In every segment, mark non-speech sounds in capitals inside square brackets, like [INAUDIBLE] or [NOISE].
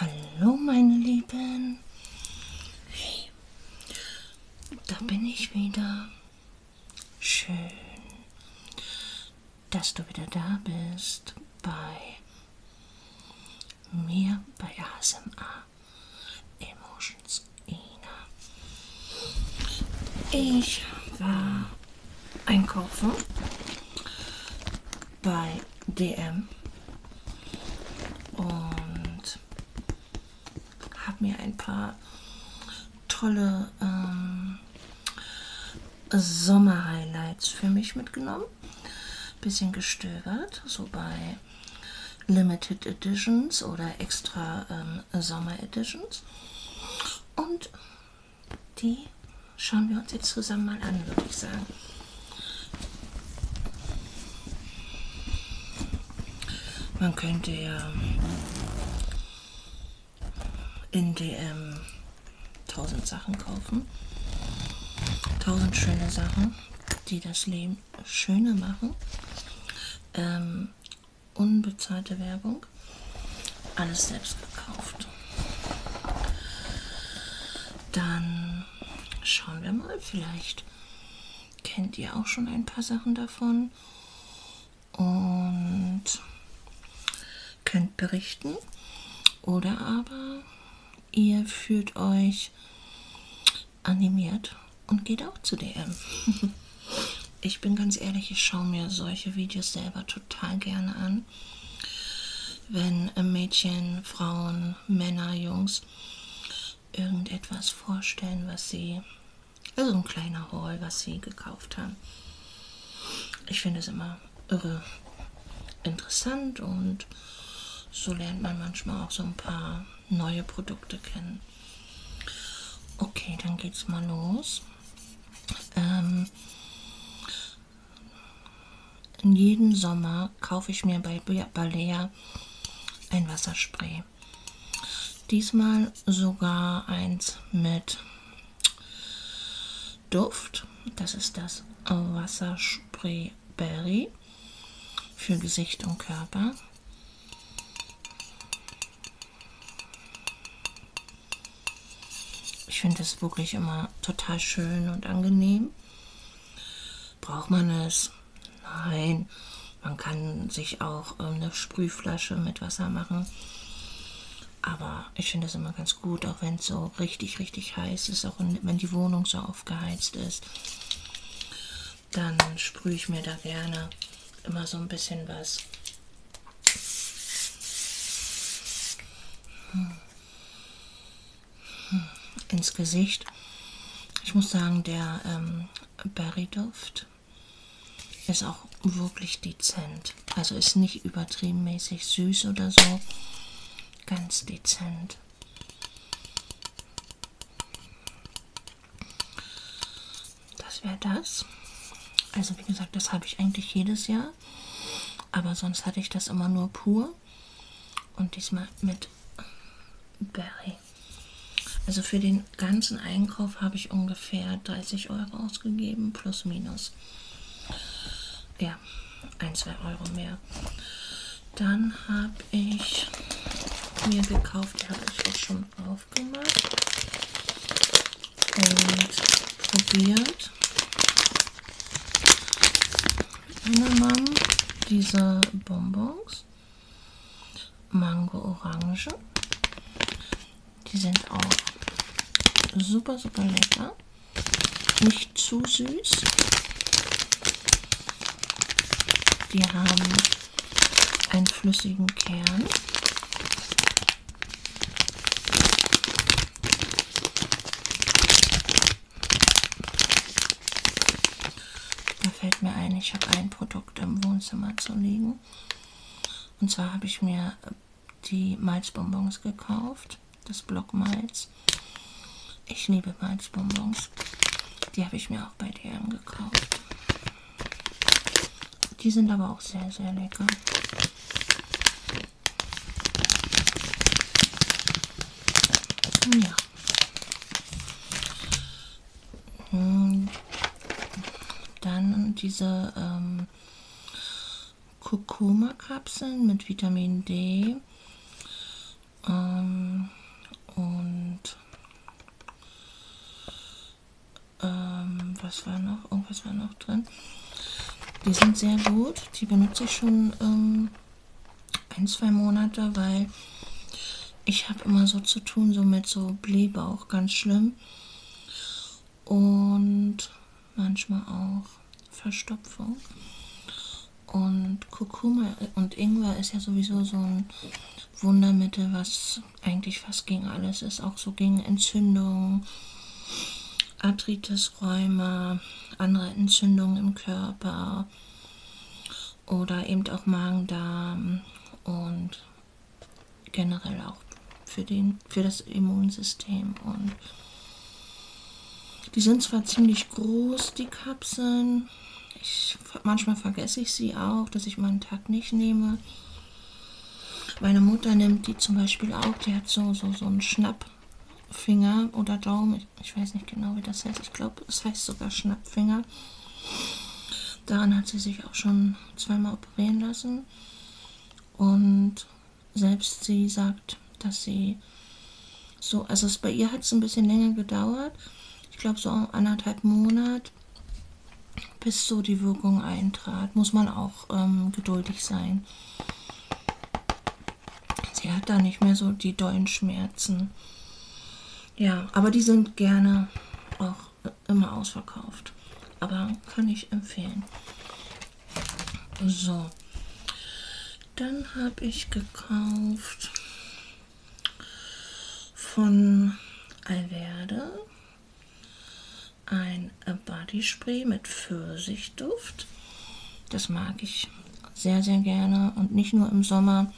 Hallo meine Lieben. Hey, da bin ich wieder. Schön, dass du wieder da bist bei mir bei ASMR. Emotions Ina. Ich war einkaufen bei DM und habe mir ein paar tolle ähm, Sommer-Highlights für mich mitgenommen. Bisschen gestöbert, so bei bei Limited Editions oder extra ähm, Sommer Editions. Und die schauen wir uns jetzt zusammen mal an, würde ich sagen. Man könnte ja in DM tausend Sachen kaufen. Tausend schöne Sachen, die das Leben bisschen schöner machen. Ähm, unbezahlte Werbung. Alles selbst gekauft. Dann schauen wir mal. Vielleicht kennt ihr auch schon ein paar Sachen davon. Und könnt berichten. Oder aber ihr fühlt euch animiert und geht auch zu DM. [LAUGHS] ich bin ganz ehrlich, ich schaue mir solche Videos selber total gerne an. Wenn Mädchen, Frauen, Männer, Jungs irgendetwas vorstellen, was sie, also ein kleiner Haul, was sie gekauft haben. Ich finde es immer irre interessant und so lernt man manchmal auch so ein paar neue Produkte kennen. Okay, dann geht's mal los. Ähm, jeden Sommer kaufe ich mir bei Balea ein Wasserspray. Diesmal sogar eins mit Duft. Das ist das Wasserspray Berry für Gesicht und Körper. Ich finde es wirklich immer total schön und angenehm. Braucht man es? Nein. Man kann sich auch ähm, eine Sprühflasche mit Wasser machen. Aber ich finde das immer ganz gut, auch wenn es so richtig, richtig heiß ist, auch wenn die Wohnung so aufgeheizt ist, dann sprühe ich mir da gerne immer so ein bisschen was. Hm. Hm. Ins Gesicht. Ich muss sagen, der ähm, Berryduft ist auch wirklich dezent. Also ist nicht übertrieben mäßig süß oder so. Ganz dezent. Das wäre das. Also wie gesagt, das habe ich eigentlich jedes Jahr. Aber sonst hatte ich das immer nur pur. Und diesmal mit Berry. Also für den ganzen Einkauf habe ich ungefähr 30 Euro ausgegeben, plus minus. Ja, 1, 2 Euro mehr. Dann habe ich mir gekauft, die habe ich auch schon aufgemacht und probiert. Mann, diese Bonbons. Mango Orange. Die sind auch super, super lecker. Nicht zu süß. Die haben einen flüssigen Kern. Da fällt mir ein, ich habe ein Produkt im Wohnzimmer zu liegen. Und zwar habe ich mir die Malzbonbons gekauft, das Blockmalz. Malzbonbons. Ich liebe Malzbonbons. Die habe ich mir auch bei DM gekauft. Die sind aber auch sehr, sehr lecker. Hm, ja. Hm. Dann diese ähm, Kurkuma-Kapseln mit Vitamin D. Ähm, und ähm, was war noch? Irgendwas war noch drin. Die sind sehr gut. Die benutze ich schon ähm, ein, zwei Monate, weil ich habe immer so zu tun, so mit so Blähbauch, ganz schlimm. Und manchmal auch Verstopfung. Und Kurkuma und Ingwer ist ja sowieso so ein Wundermittel, was eigentlich fast gegen alles ist. Auch so gegen Entzündungen, Arthritis, Rheuma, andere Entzündungen im Körper oder eben auch Magen-Darm und generell auch für, den, für das Immunsystem. Und die sind zwar ziemlich groß, die Kapseln, nehmen. Ich, manchmal vergesse ich sie auch, dass ich meinen Tag nicht nehme. Meine Mutter nimmt die zum Beispiel auch. Die hat so, so, so einen Schnappfinger oder Daumen. Ich, ich weiß nicht genau, wie das heißt. Ich glaube, es heißt sogar Schnappfinger. Daran hat sie sich auch schon zweimal operieren lassen. Und selbst sie sagt, dass sie so, also es, bei ihr hat es ein bisschen länger gedauert. Ich glaube so anderthalb Monat, bis so die Wirkung eintrat. Muss man auch ähm, geduldig sein. Sie hat da nicht mehr so die dollen Schmerzen. Ja, aber die sind gerne auch äh, immer ausverkauft. Aber kann ich empfehlen. So. Dann habe ich gekauft von Alverde ein Body Spray mit Pfirsichduft. Das mag ich sehr, sehr gerne und nicht nur im Sommer.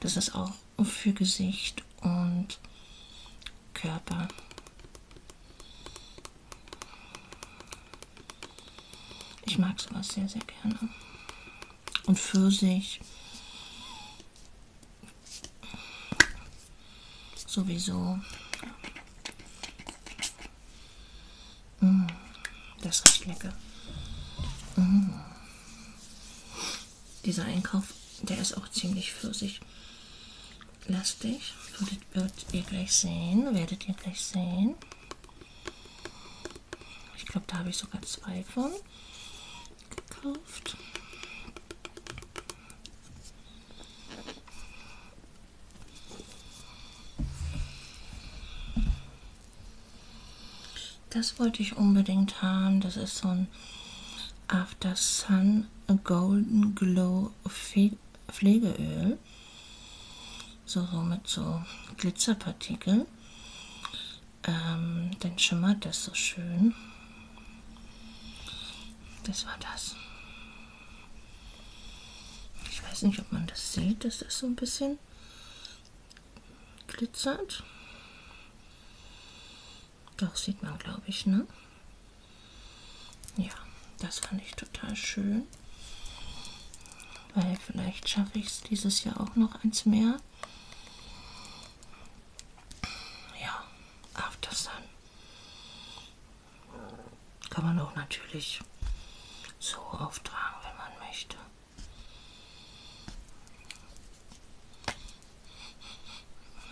Das ist auch für Gesicht und Körper. Ich mag sowas sehr, sehr gerne. Und Pfirsich. Sowieso. Mm, das riecht lecker. Mm. Dieser Einkauf, der ist auch ziemlich pfirsich lastig. Werdet, werdet ihr gleich sehen. Werdet ihr gleich sehen. Ich glaube, da habe ich sogar zwei von gekauft. Das wollte ich unbedingt haben. Das ist so ein After Sun Golden Glow Pflegeöl so, so mit so Glitzerpartikeln. Ähm, dann schimmert das so schön. Das war das. Ich weiß nicht, ob man das sieht, dass das so ein bisschen glitzert. Doch, sieht man, glaube ich, ne? Ja, das fand ich total schön weil vielleicht schaffe ich es dieses Jahr auch noch eins mehr. Ja, After Sun. Kann man auch natürlich so auftragen, wenn man möchte.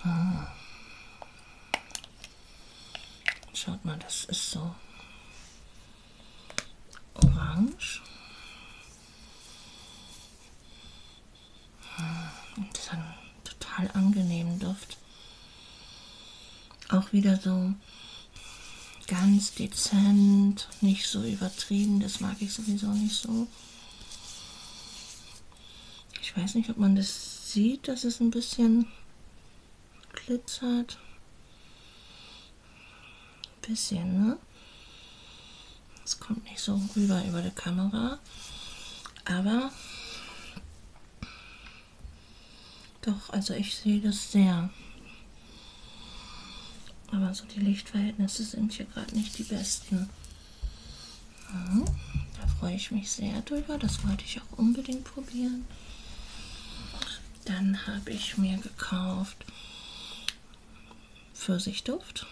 Hm. Schaut mal, das ist so Orange. Hm, und das hat einen total angenehmen Duft. Auch wieder so ganz dezent, nicht so übertrieben. Das mag ich sowieso nicht so. Ich weiß nicht, ob man das sieht, dass es ein bisschen glitzert. Ein bisschen, ne? Das kommt nicht so rüber über die Kamera. Aber doch, also ich sehe das sehr. Aber so die Lichtverhältnisse sind hier gerade nicht die besten. Ja, mhm, da freue ich mich sehr drüber. Das wollte ich auch unbedingt probieren. Dann habe ich mir gekauft Pfirsichduft.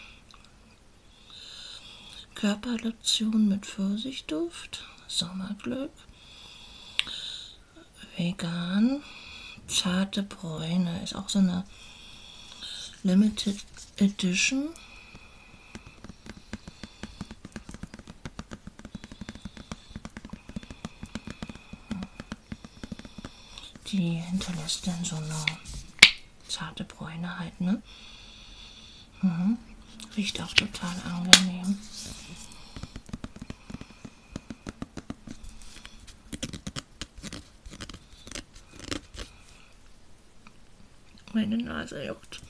Körperlotion mit Pfirsichduft. Sommerglück. Vegan. Zarte Bräune. Ist auch so eine Limited Edition. Die hinterlässt dann so eine zarte Bräune halt, ne? Mhm. Riecht auch total angenehm. Meine Nase juckt.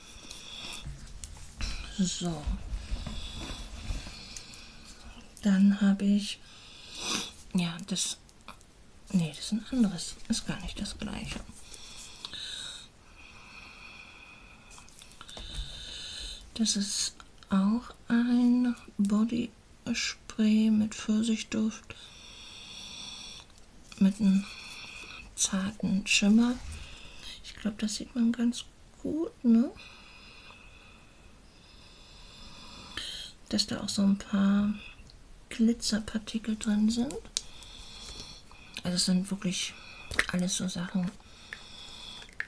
So. Dann habe ich, ja, das, nee, das ist ein anderes, ist gar nicht das gleiche. Das ist auch ein Body Spray mit Pfirsichduft, mit einem zarten Schimmer. Ich glaube, das sieht man ganz gut, ne? dass da auch so ein paar Glitzerpartikel drin sind. Also es sind wirklich alles so Sachen,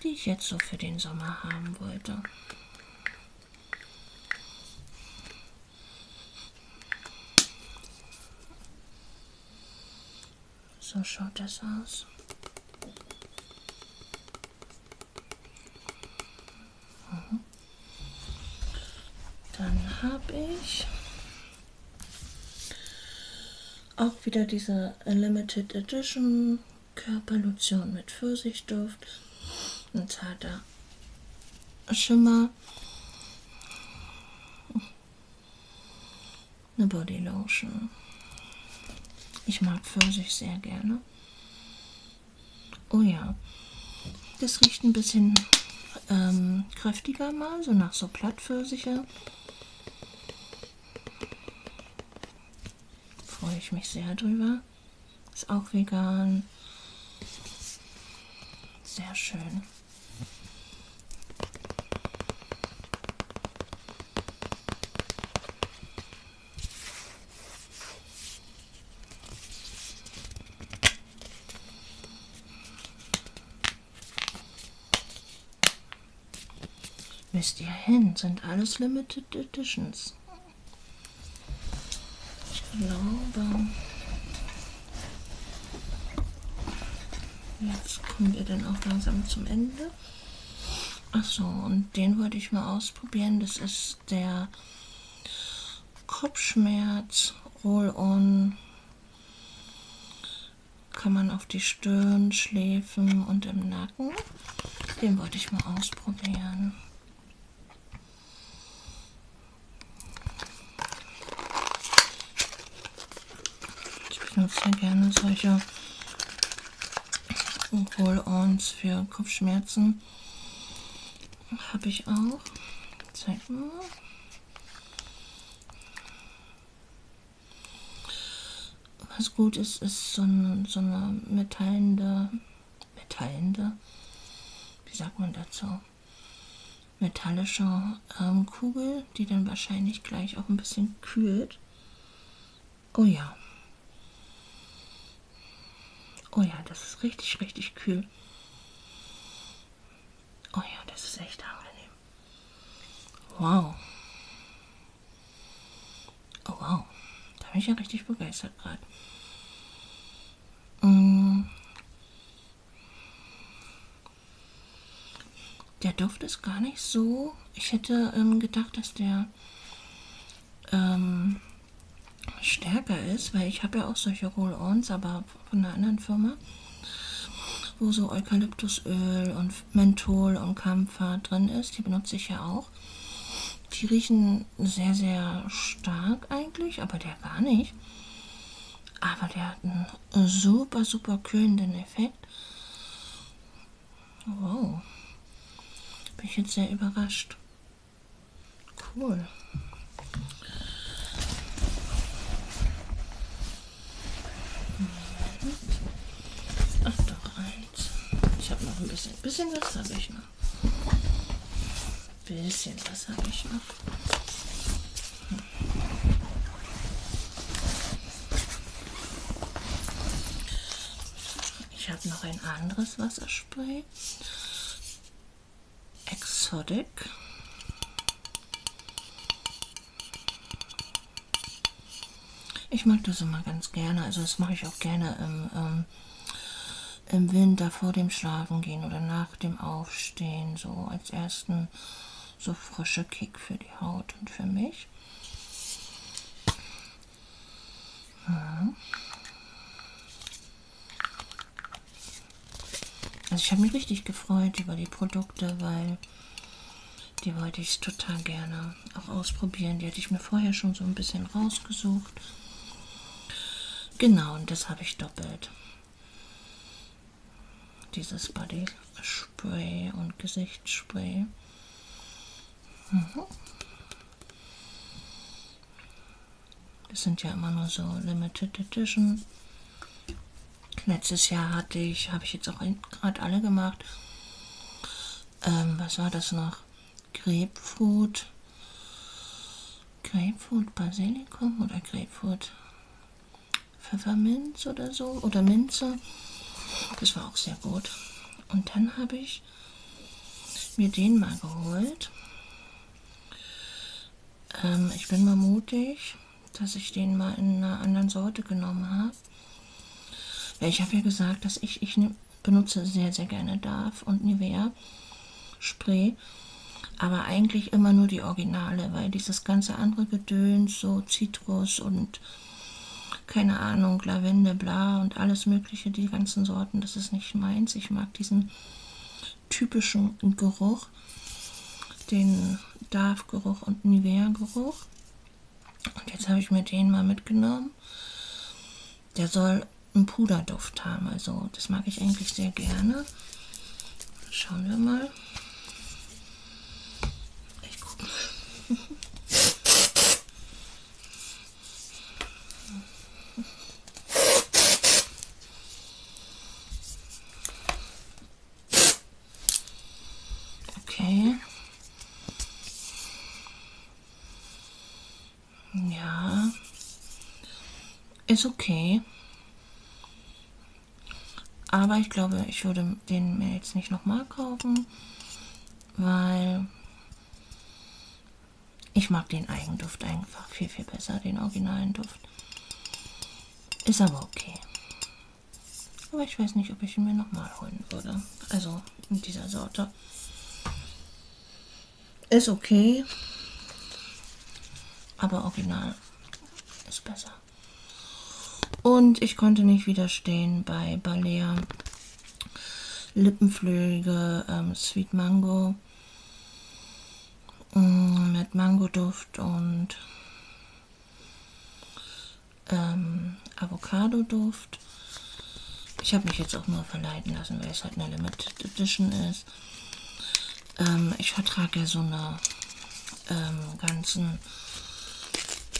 die ich jetzt so für den Sommer haben wollte. So schaut das aus. Mhm. Dann habe ich auch wieder diese Limited Edition Körperlotion mit Pfirsichduft, ein zarter Schimmer, eine Bodylotion. Ich mag Pfirsich sehr gerne. Oh ja, das riecht ein bisschen ähm, kräftiger mal, so nach so Plattpfirsiche. Freue ich mich sehr drüber. Ist auch vegan. Sehr schön. Müsst ihr hin, sind alles Limited Editions. Ich glaube. Jetzt kommen wir dann auch langsam zum Ende. Achso, und den wollte ich mal ausprobieren. Das ist ist der Kopfschmerz Roll-On. Kann man auf die Stirn, Schläfen und im Nacken. Den wollte ich mal ausprobieren. Ich benutze gerne solche Roll-Ons für Kopfschmerzen. Farben habe ich auch. Zeig mal. Was gut ist, ist so eine, so eine metallende, metallende, wie sagt man dazu, metallische ähm, Kugel, die dann wahrscheinlich gleich auch ein bisschen kühlt. Oh ja. Oh ja, das ist richtig, richtig kühl. Oh ja, das ist echt angenehm. Wow. Oh wow. Da bin ich ja richtig begeistert gerade. Mm. Der Duft ist gar nicht so. Ich hätte ähm, gedacht, dass der ähm, stärker ist, weil ich habe ja auch solche Roll-Ons, aber von einer anderen Firma, wo so Eukalyptusöl und Menthol und Kampfer drin ist, die benutze ich ja auch. Die riechen sehr, sehr stark eigentlich, aber der gar nicht. Aber der hat einen super, super kühlenden Effekt. Wow. Bin ich jetzt sehr überrascht. Cool. Ach, da reiz. Ich habe noch ein bisschen. Bisschen was habe ich noch. Bisschen was habe ich noch. Hm. Ich habe noch ein anderes Wasserspray. Exotic. Ich mag das immer ganz gerne. Also das mache ich auch gerne im, ähm, im Winter vor dem Schlafengehen oder nach dem Aufstehen. So als ersten so frische Kick für die Haut und für mich. Also ich habe mich richtig gefreut über die Produkte, weil die wollte ich total gerne auch ausprobieren. Die hatte ich mir vorher schon so ein bisschen rausgesucht. Genau, und das habe ich doppelt. Dieses Body Spray und Gesichtsspray. Mhm. Das sind ja immer nur so Limited Edition. Letztes Jahr hatte ich, habe ich jetzt auch gerade alle gemacht. Ähm, was war das noch? Grapefruit. Grapefruit Basilikum oder Grapefruit Pfefferminz oder so oder Minze. Das war auch sehr gut. Und dann habe ich ich mir den mal geholt. Ähm, ich bin mal mutig, dass ich den mal in einer anderen Sorte genommen habe. Ich habe ja gesagt, dass ich, ich benutze sehr, sehr gerne Darf und Nivea Spray, aber eigentlich immer nur die Originale, weil dieses ganze andere Gedöns, so Zitrus und keine Ahnung, Lavende, bla und alles mögliche, mögliche, die ganzen Sorten, das ist nicht meins. Ich mag diesen typischen Geruch, den Darf-Geruch und Nivea-Geruch. Und jetzt habe ich mir den mal mitgenommen. Der soll einen Puderduft haben, also das mag ich eigentlich sehr gerne. Schauen wir mal. Ich gucke. [LAUGHS] Okay. Ja. Ist okay. Aber ich glaube, ich würde den mir jetzt nicht nochmal kaufen, weil ich mag den Eigenduft einfach viel, viel besser, den originalen Duft. Ist aber okay. Aber ich weiß nicht, ob ich ihn mir nochmal holen würde. Also in dieser Sorte. Ist okay. Aber original ist besser. Und ich konnte nicht widerstehen bei Balea Lippenflügel, ähm, Sweet Mango ähm, mit Mangoduft und ähm, Avocado-Duft. Ich habe mich jetzt auch nur verleiten lassen, weil es halt eine Limited Edition ist. Ähm, ich vertrage ja so eine ähm, ganzen,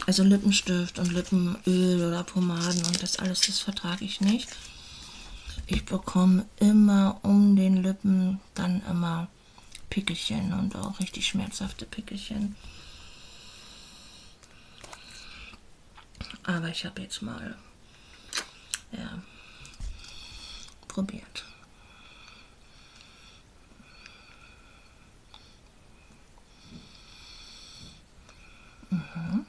also Lippenstift und Lippenöl oder Pomaden und das alles, das vertrage ich nicht. Ich bekomme immer um den Lippen dann immer Pickelchen und auch richtig schmerzhafte Pickelchen. Aber ich habe jetzt mal ja, probiert. Mhm.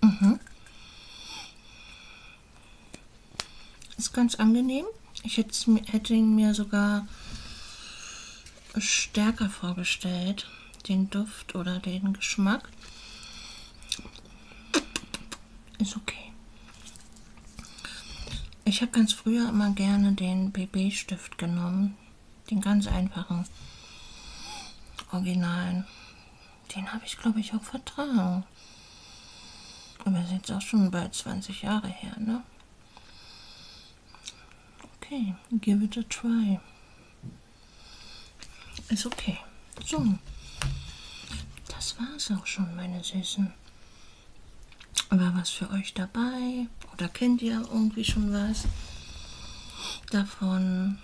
Mhm. Ist ganz angenehm. Ich hätte ihn mir sogar stärker vorgestellt den Duft oder den Geschmack. Ist okay. Ich habe ganz früher immer gerne den BB-Stift genommen. Den ganz einfachen, originalen. Den habe ich, glaube ich, auch vertragen. Aber ist jetzt auch schon bald 20 Jahre her, ne? Okay, give it a try. Ist okay. So. Das war's auch schon, meine Süßen. War was für euch dabei? Oder kennt ihr irgendwie schon was davon?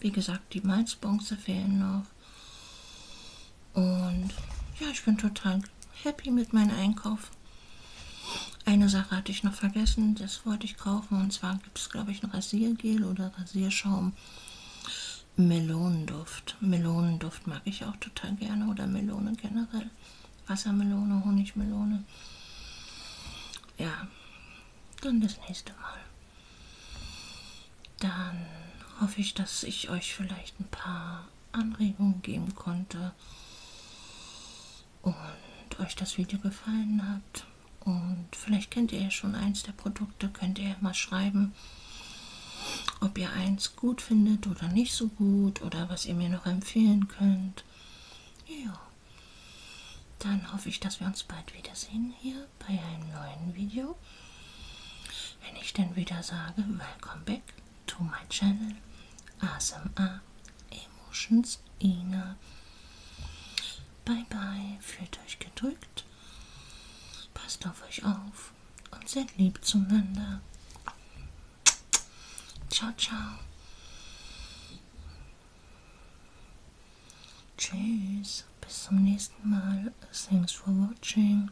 Wie gesagt, die Malzbonze fehlen noch. Und ja, ich bin total happy mit meinem Einkauf. Eine Sache hatte ich noch vergessen, das wollte ich kaufen und zwar da gibt es, glaube ich, ein Rasiergel oder Rasierschaum. Melonenduft. Melonenduft mag ich auch total gerne oder Melone generell. Wassermelone, Honigmelone. Ja, dann das nächste Mal. Dann hoffe ich, dass ich euch vielleicht ein paar Anregungen geben konnte und euch das Video gefallen hat. Und vielleicht kennt ihr ja schon eins der Produkte, könnt ihr ja mal schreiben, ob ihr eins gut findet oder nicht so gut oder was ihr mir noch empfehlen könnt. Ja, dann hoffe ich, dass wir uns bald wiedersehen hier bei einem neuen Video. Wenn ich dann wieder sage, welcome back to my channel ASMR ah, Emotions Ina. Bye bye, fühlt euch gedrückt. Passt auf euch auf und seid lieb zueinander. Ciao, ciao. Tschüss, bis zum nächsten Mal. Thanks for watching.